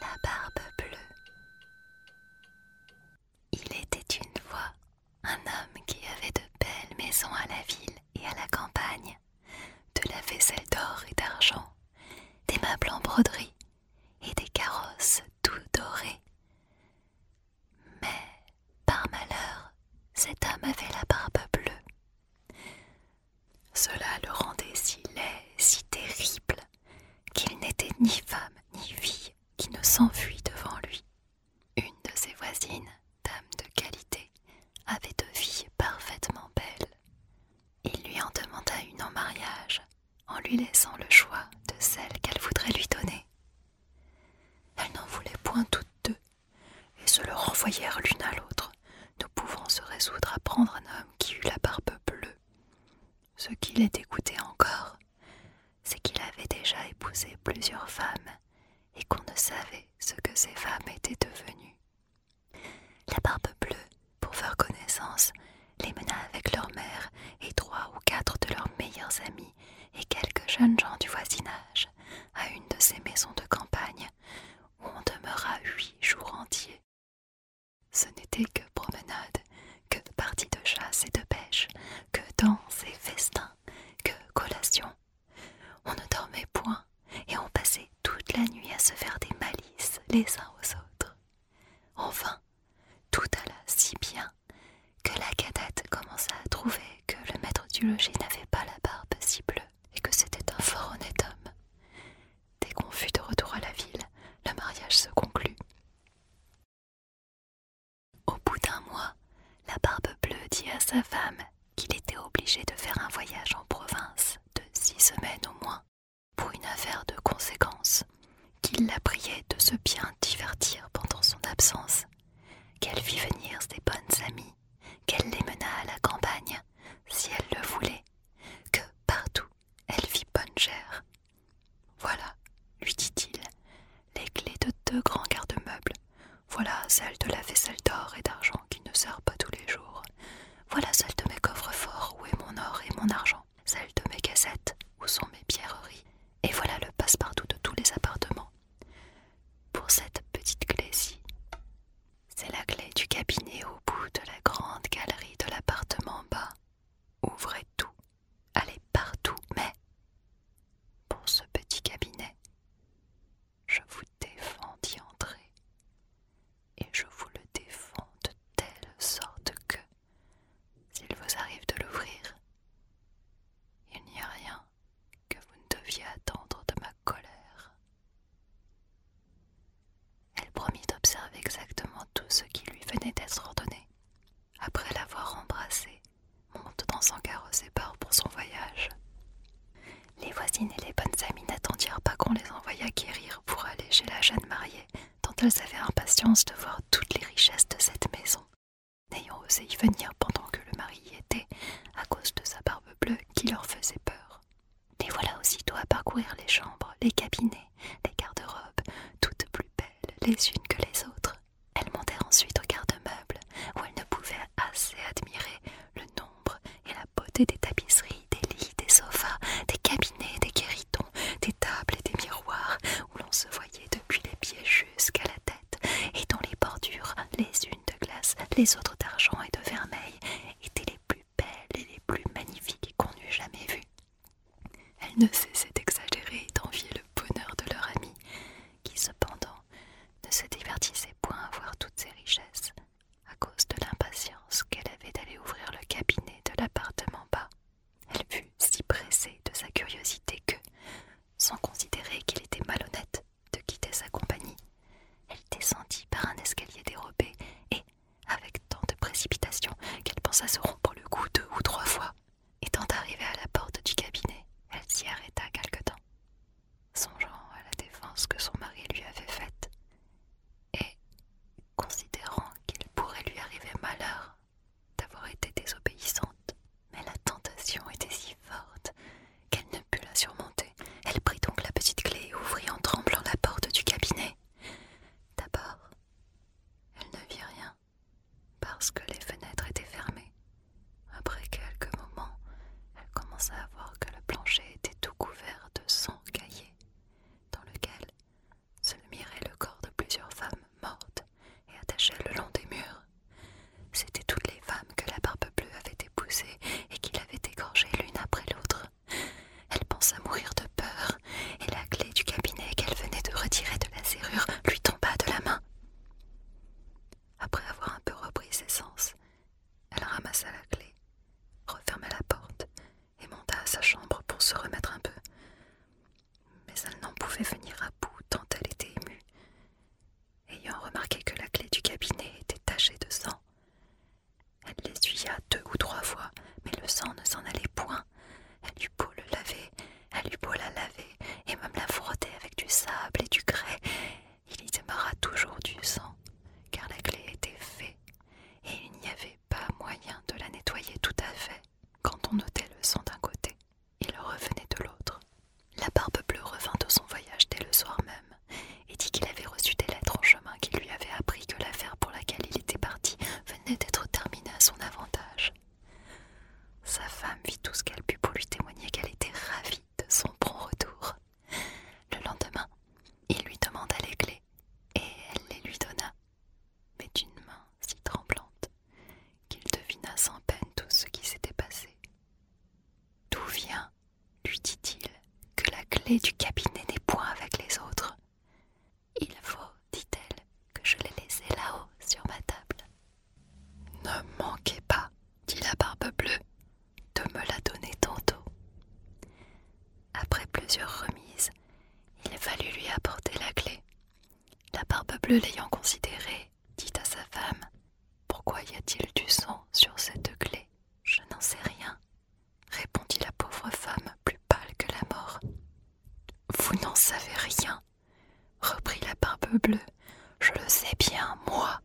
La barbe bleue. Il était une fois un homme qui avait de belles maisons à la ville et à la campagne, de la vaisselle d'or et d'argent, des meubles en broderie et des carrosses tout dorés. Mais, par malheur, cet homme avait la barbe bleue. Cela le rendait si laid, si terrible, qu'il n'était ni femme ni vie qui ne s'enfuit devant lui. Une de ses voisines, dame de qualité, avait deux filles parfaitement belles. Il lui en demanda une en mariage, en lui laissant le choix de celle qu'elle voudrait lui donner. Elle n'en voulait point toutes deux, et se le renvoyèrent l'une à l'autre, ne pouvant se résoudre à prendre un homme qui eût la barbe bleue. Ce qui les dégoûtait encore, c'est qu'il avait déjà épousé plusieurs femmes et qu'on ne savait ce que ces femmes étaient devenues. La barbe bleue, pour faire connaissance, les mena avec leur mère et trois ou quatre de leurs meilleurs amis et quelques jeunes gens du voisinage à une de ces maisons de campagne où on demeura huit jours entiers. Ce n'était que promenade, que parties de chasse et de pêche, que danses et festins que collations On ne dormait point et on passait toute la nuit à se faire des malices les uns aux autres. Enfin, tout alla si bien que la cadette commença à trouver que le maître du logis n'avait pas la barbe si bleue et que c'était un fort honnête homme. Dès qu'on fut de retour à la ville, le mariage se conclut. Au bout d'un mois, la barbe bleue dit à sa femme qu'il était obligé de faire un voyage en province de six semaines au moins pour une affaire de conséquence, qu'il la priait de se bien divertir pendant son absence qu'elle vit venir ses bonnes amies, qu'elle les mena à la campagne, si elle le voulait, que partout elle vit bonne chère. Voilà, lui dit-il, les clés de deux grands garde-meubles, voilà celle de la vaisselle d'or et d'argent qui ne sert pas tous les jours, voilà celle de mes coffres forts où est mon or et mon argent, celle de mes cassettes où sont mes pierreries, et voilà le passe-partout de tous les appartements. Pour cette petite clé-ci, c'est la clé du cabinet au bout de la grande galerie de l'appartement bas. Ouvrez tout, allez partout, mais pour ce petit cabinet, je vous défends d'y entrer. Et je vous le défends de telle sorte que s'il vous arrive de l'ouvrir, il n'y a rien que vous ne deviez attendre de ma colère. Elle promit d'observer exactement tout ce qui lui venait d'être ordonné. Après l'avoir embrassée, monte dans son carrosse et pour son voyage. Les voisines et les bonnes amies n'attendirent pas qu'on les envoyât quérir pour aller chez la jeune mariée tant elles avaient impatience de voir toutes les richesses de cette maison, n'ayant osé y venir pendant que le mari y était, à cause de sa barbe bleue qui leur faisait peur. Les voilà aussitôt à parcourir les chambres, les cabinets, les garde-robes, toutes plus belles les unes que les autres. Elles montèrent ensuite au garde-meuble, où elles ne pouvaient assez admirer le nombre et la beauté des tapisseries, des lits, des sofas, des cabinets des guéridons, des tables et des miroirs où l'on se voyait depuis les pieds jusqu'à la tête et dont les bordures, les unes de glace, les autres d'argent et de vermeil, étaient les plus belles et les plus magnifiques qu'on n'eût jamais vues. Elles ne cessaient d'exagérer et d'envier le bonheur de leur amie, qui cependant ne se divertissait point à voir toutes ces richesses à cause de l'impatience qu'elle avait d'aller ouvrir le cabinet de l'appartement bas. Elle fut si pressée de sa curiosité que, sans considérer qu'il était malhonnête de quitter sa compagnie, elle descendit par un escalier dérobé et, avec tant de précipitation qu'elle pensa se rompre le cou deux ou trois fois, étant arrivée à la porte du cabinet, elle s'y arrêta quelque temps, songeant à la défense que son mari lui avait faite, et considérant qu'il pourrait lui arriver malheur d'avoir été désobéissante. Mais la tentation était si forte qu'elle ne put la surmonter. Elle prit donc la petite clé et ouvrit en tremblant la porte du cabinet. D'abord, elle ne vit rien parce que les fenêtres étaient fermées. Après quelques moments, elle commença à voir que le plancher était tout couvert de sang cahiers, dans lequel se mirait le corps de plusieurs femmes mortes et attachées le long des murs. C'étaient toutes les femmes que la barbe bleue avait épousées et qu'il avait égorgées l'une après l'autre. Elle pensa mourir de peur, et la clé du cabinet qu'elle venait de retirer de la serrure lui tomba de la main. Après avoir un peu repris ses sens, elle ramassa la clé, referma la porte et monta à sa chambre pour se remettre un peu. Mais elle n'en pouvait venir à bout tant elle était émue. Ayant remarqué que la clé du cabinet était tachée de sang, elle l'essuya deux ou trois fois, mais le sang ne s'en allait point. Elle eut beau le laver, elle eut beau la laver, et même la frotter avec du sable et du grès, il y demeura toujours du sang, car la clé était faite, et il n'y avait pas moyen de la nettoyer tout à fait quand on ôtait le sang d'un côté. et le revenait de l'autre. La barbe bleue revint de son voyage dès le soir même et dit qu'il avait reçu des lettres en chemin qui lui avaient appris que l'affaire pour laquelle il était parti venait d'être terminée à son avantage. Sa femme vit tout ce qu'elle put pour lui témoigner qu'elle était ravie de son prompt retour. Le lendemain, il lui demanda les clés et elle les lui donna, mais d'une main si tremblante qu'il devina sans peine tout ce qui s'était passé. D'où vient, lui dit-il, que la clé du cabinet n'est point avec les autres Il faut, dit-elle, que je l'ai laissée là-haut sur ma table. Ne manquez pas, dit la barbe bleue, de me la donner tantôt. Après plusieurs remises, il fallut lui apporter la clé. La barbe bleue l'ayant considérée, dit à sa femme Pourquoi y a-t-il du sang sur cette clé Je n'en sais rien, répondit la pauvre femme plus pâle que la mort. Vous n'en savez rien, reprit la barbe bleue. Je le sais bien, moi.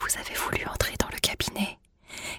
Vous avez voulu entrer dans le cabinet.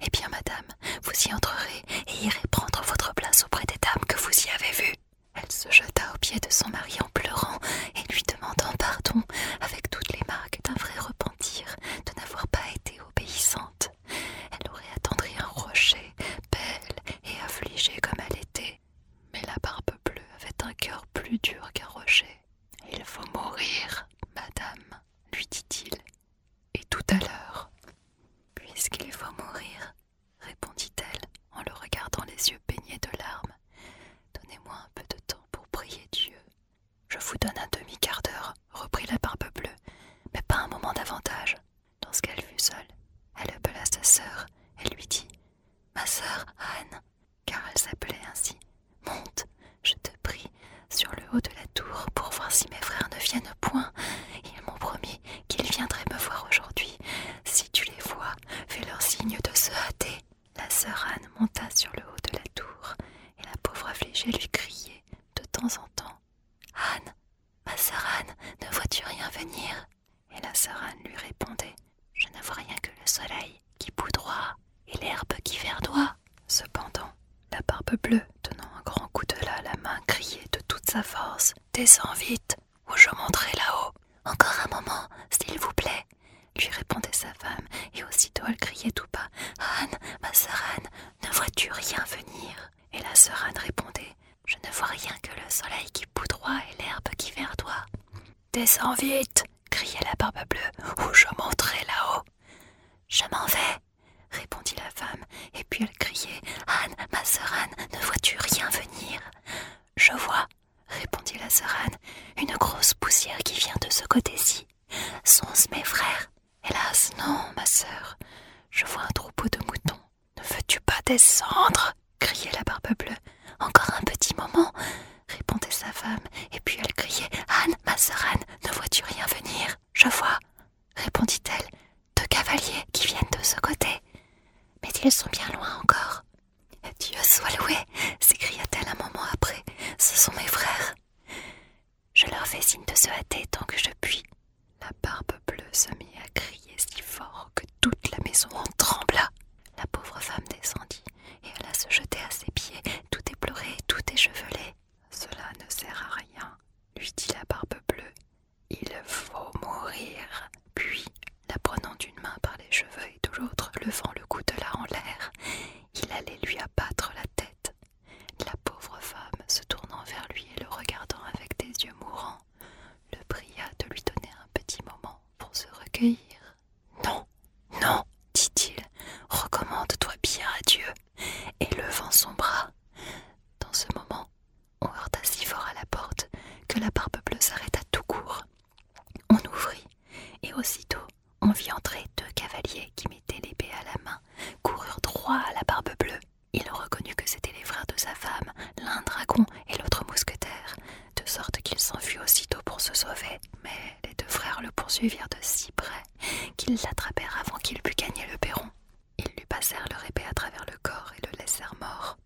Eh bien, madame, vous y entrerez et irez prendre votre place auprès des dames que vous y avez vues. Elle se jeta aux pieds de son mari en pleurant et lui demandant pardon avec toutes les marques d'un vrai repentir de n'avoir pas été obéissante. Elle aurait attendri un rocher, belle et affligée comme elle était. Mais la barbe bleue avait un cœur plus dur qu'un rocher. Il faut mourir, madame, lui dit-il, et tout à l'heure. Puisqu'il faut mourir, répondit-elle en le regardant les yeux baignés de larmes, donnez-moi un peu de temps pour prier Dieu. Je vous donne un demi-quart d'heure, reprit la barbe bleue, mais pas un moment davantage. Lorsqu'elle fut seule, elle appela sa sœur et lui dit Ma sœur Anne, car elle s'appelait ainsi. Monte, je te prie, sur le haut de la tour pour voir si mes frères ne viennent point. Ils m'ont promis qu'ils viendraient me voir aujourd'hui. Si tu les vois, fais-leur signe de se hâter. La sœur Anne monta sur le haut de la tour, et la pauvre affligée lui criait de temps en temps. Anne, ma sœur Anne, ne vois-tu rien venir Et la sœur Anne lui répondait. Je ne vois rien que le soleil qui poudroie et l'herbe qui verdoie. Cependant, la barbe bleue, tenant un grand coup de à la main, criait de toute sa force Descends vite, ou je monterai là-haut. Encore un moment, s'il vous plaît, lui répondait sa femme, et aussitôt elle criait tout bas Anne, ma sœur Anne, ne vois-tu rien venir Et la sœur Anne répondait Je ne vois rien que le soleil qui poudroie et l'herbe qui verdoie. Descends vite criait la barbe bleue, ou je monterai là-haut. Je m'en vais, répondit la femme, et puis elle criait Anne, ma sœur Anne, ne vois-tu rien venir Je vois, répondit la sœur Anne, une grosse poussière qui vient de ce côté-ci. Sont-ce mes frères Hélas, non, ma sœur. Je vois un troupeau de moutons. Ne veux-tu pas descendre criait la barbe bleue. Encore un petit moment, répondait sa femme, et puis elle criait Anne, ma sœur Anne, ne vois-tu rien venir Je vois, répondit-elle, deux cavaliers qui viennent de ce côté. Mais ils sont bien loin encore. Dieu soit loué, s'écria-t-elle un moment après, ce sont mes frères. Je leur fais signe de se hâter tant que je puis. La barbe bleue se mit à crier si fort que toute la maison en trembla. La pauvre femme descendit et alla se jeter à ses pieds, tout éplorée, tout échevelée. Cela ne sert à rien, lui dit la barbe bleue. Il faut mourir. Puis, la prenant d'une main par les cheveux et de l'autre, levant le de la en l'air, il allait lui abattre la tête. La pauvre femme, se tournant vers lui et le regardant avec des yeux mourants, le pria de lui donner un petit moment pour se recueillir. Non, non, dit-il, recommande-toi bien à Dieu. Et levant son bras. Dans ce moment, on heurta si fort à la porte que la barbe bleue s'arrêta tout court. On ouvrit, et aussitôt on vit entrer deux cavaliers qui mettaient l'épée à la main, coururent droit à la barbe bleue. Il reconnut que c'étaient les frères de sa femme, l'un dragon et l'autre mousquetaire de sorte qu'il s'enfuit aussitôt pour se sauver. Mais les deux frères le poursuivirent de si près qu'ils l'attrapèrent avant qu'il pût gagner le perron. Ils lui passèrent leur épée à travers le corps et le laissèrent mort.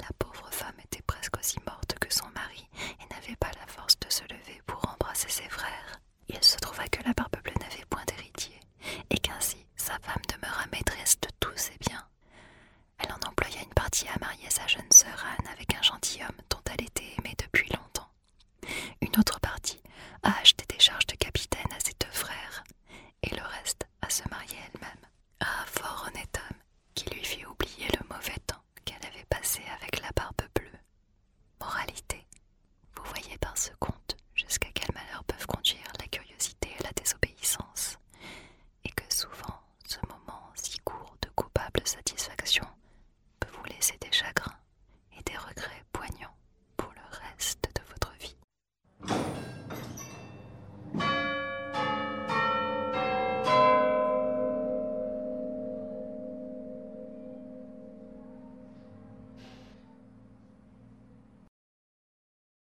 La pauvre femme était presque aussi morte que son mari et n'avait pas la force de se lever pour embrasser ses frères. Il se trouva que la barbe bleue n'avait point d'héritier et qu'ainsi sa femme demeura maîtresse de tous ses biens elle en employa une partie à marier sa jeune sœur Anne avec un gentilhomme dont elle était aimée depuis longtemps. Une autre partie à acheter des charges de capitaine à ses deux frères, et le reste à se marier elle-même à ah, un fort honnête homme qui lui fit oublier le mauvais temps qu'elle avait passé avec la barbe bleue. Moralité. Vous voyez par ce conte jusqu'à quel malheur peuvent conduire la curiosité et la désobéissance et que souvent ce moment si court de coupable satisfaction peut vous laisser des chagrins et des regrets poignants pour le reste de votre vie.